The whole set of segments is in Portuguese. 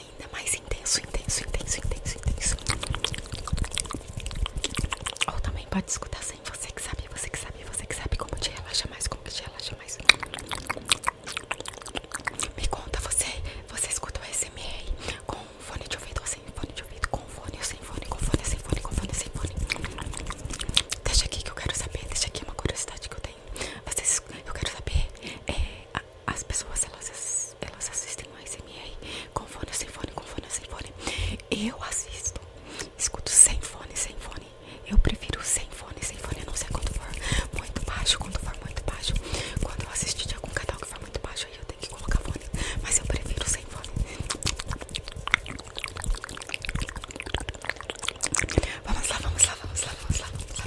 ainda mais intenso, intenso, intenso, intenso, intenso. Ou também pode escutar sem você que sabe, você que sabe, você que sabe como te relaxa mais, como te relaxa mais. Me conta, você, você escuta o SMR com fone de ouvido ou sem fone de ouvido, com fone ou sem fone, com fone, sem fone, com fone, sem fone. Deixa aqui que eu quero saber, deixa aqui uma curiosidade que eu tenho. Vocês, eu quero saber é, a, as pessoas elas, elas assistem o ASMR com fone, sem fone, com fone, sem fone. Eu assisto, escuto sem fone, sem fone. Eu prefiro sem fone, sem fone. não sei quando for muito baixo, quando for muito baixo. Quando eu assistir de algum canal que for muito baixo, aí eu tenho que colocar fone. Mas eu prefiro sem fone. Vamos lá, vamos lá, vamos lá, vamos lá, vamos lá.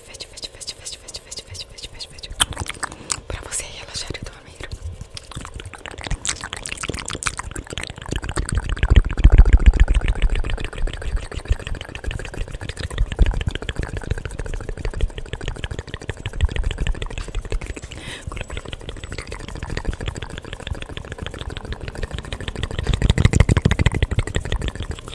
fast, fast, fast, fast, fast, fast, fast, fast, fast, fast, fast. Pra você relaxar e dormir.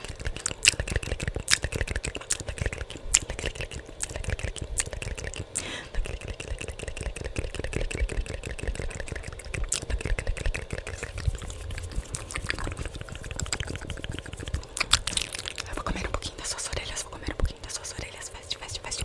Eu vou comer um pouquinho das suas orelhas, vou comer um pouquinho das suas orelhas, fast, fast, fast.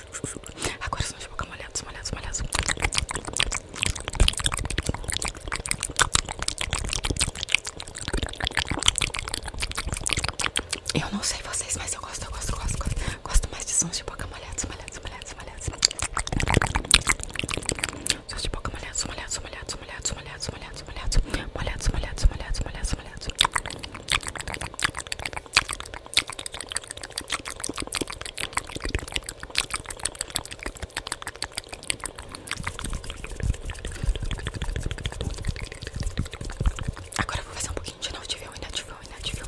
Agora são de boca molhados, molhados, molhados. Eu não sei vocês, mas eu gosto, gosto, gosto, gosto, gosto mais de sons de boca molhados, molhados, molhados, molhados. Sons de boca molhados, molhados, molhados, molhados, molhados, molhados, molhados, molhados, molhados, molhados, molhados, molhados. molhados, molhados, molhados, molhados, molhados. Agora vou fazer um pouquinho de inativão, inativão, inativão.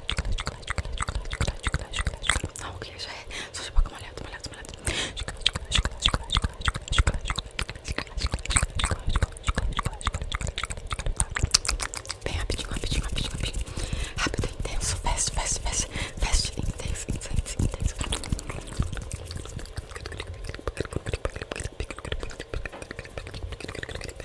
chocolate, chocolate, chocolate, chocolate, Não, o que já é? Só de boca molhada, molhada, molhada. Chocolate, chocolate, chocolate, chocolate, chocolate, Bem rapidinho, rapidinho, rapidinho, rapidinho. Rápido, intenso, fast, fast, fast, fast, intenso, intenso, intenso.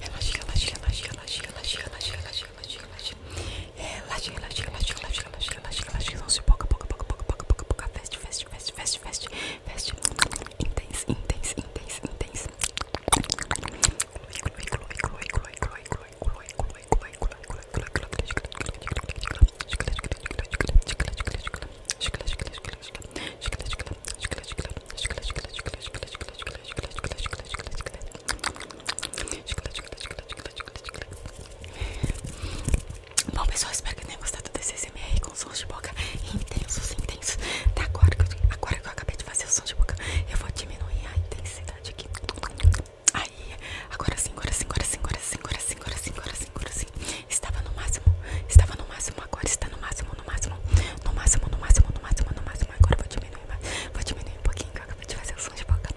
Relaxa, relaxa, relaxa, relaxa, relaxa, relaxa, relaxa, relaxa, relaxa. Relaxa, relaxa, relaxa, relaxa, relaxa, relaxa, relaxa. Não se boca, boca, boca, boca, boca, boca, boca. Feste, feste, feste, feste, feste, feste. Intense, intense, intense, intense. Glue, glue, glue, glue, glue, glue, glue, glue, glue, Bom pessoal, espero que tenham gostado desse SMR com sons de boca intensos, intensos tá, agora, que eu, agora que eu acabei de fazer o som de boca Eu vou diminuir a intensidade aqui Aí, agora sim, agora sim, agora sim, agora sim, agora sim, agora sim, agora sim, Estava no máximo, estava no máximo, agora está no máximo, no máximo, no máximo, no máximo, no máximo, no máximo. Agora vou diminuir mais, vou diminuir um pouquinho que eu acabei de fazer o som de boca.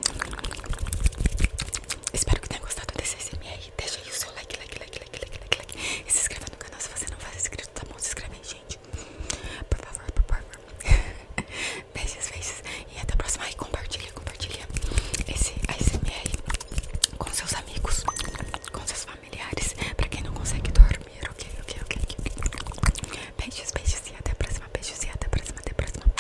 Espero que tenha gostado desse SMR. Deixa aí o seu like, like, like, like, like, like, like. E se inscreva no canal se você não for inscrito, tá bom? Se inscreve aí, gente. Por favor, por favor. Beijos, beijos. E até a próxima. E compartilha, compartilha esse ASMR com seus amigos, com seus familiares. Pra quem não consegue dormir, ok, ok, ok. Beijos, beijos. E até a próxima. Beijos e até a próxima. Até a próxima.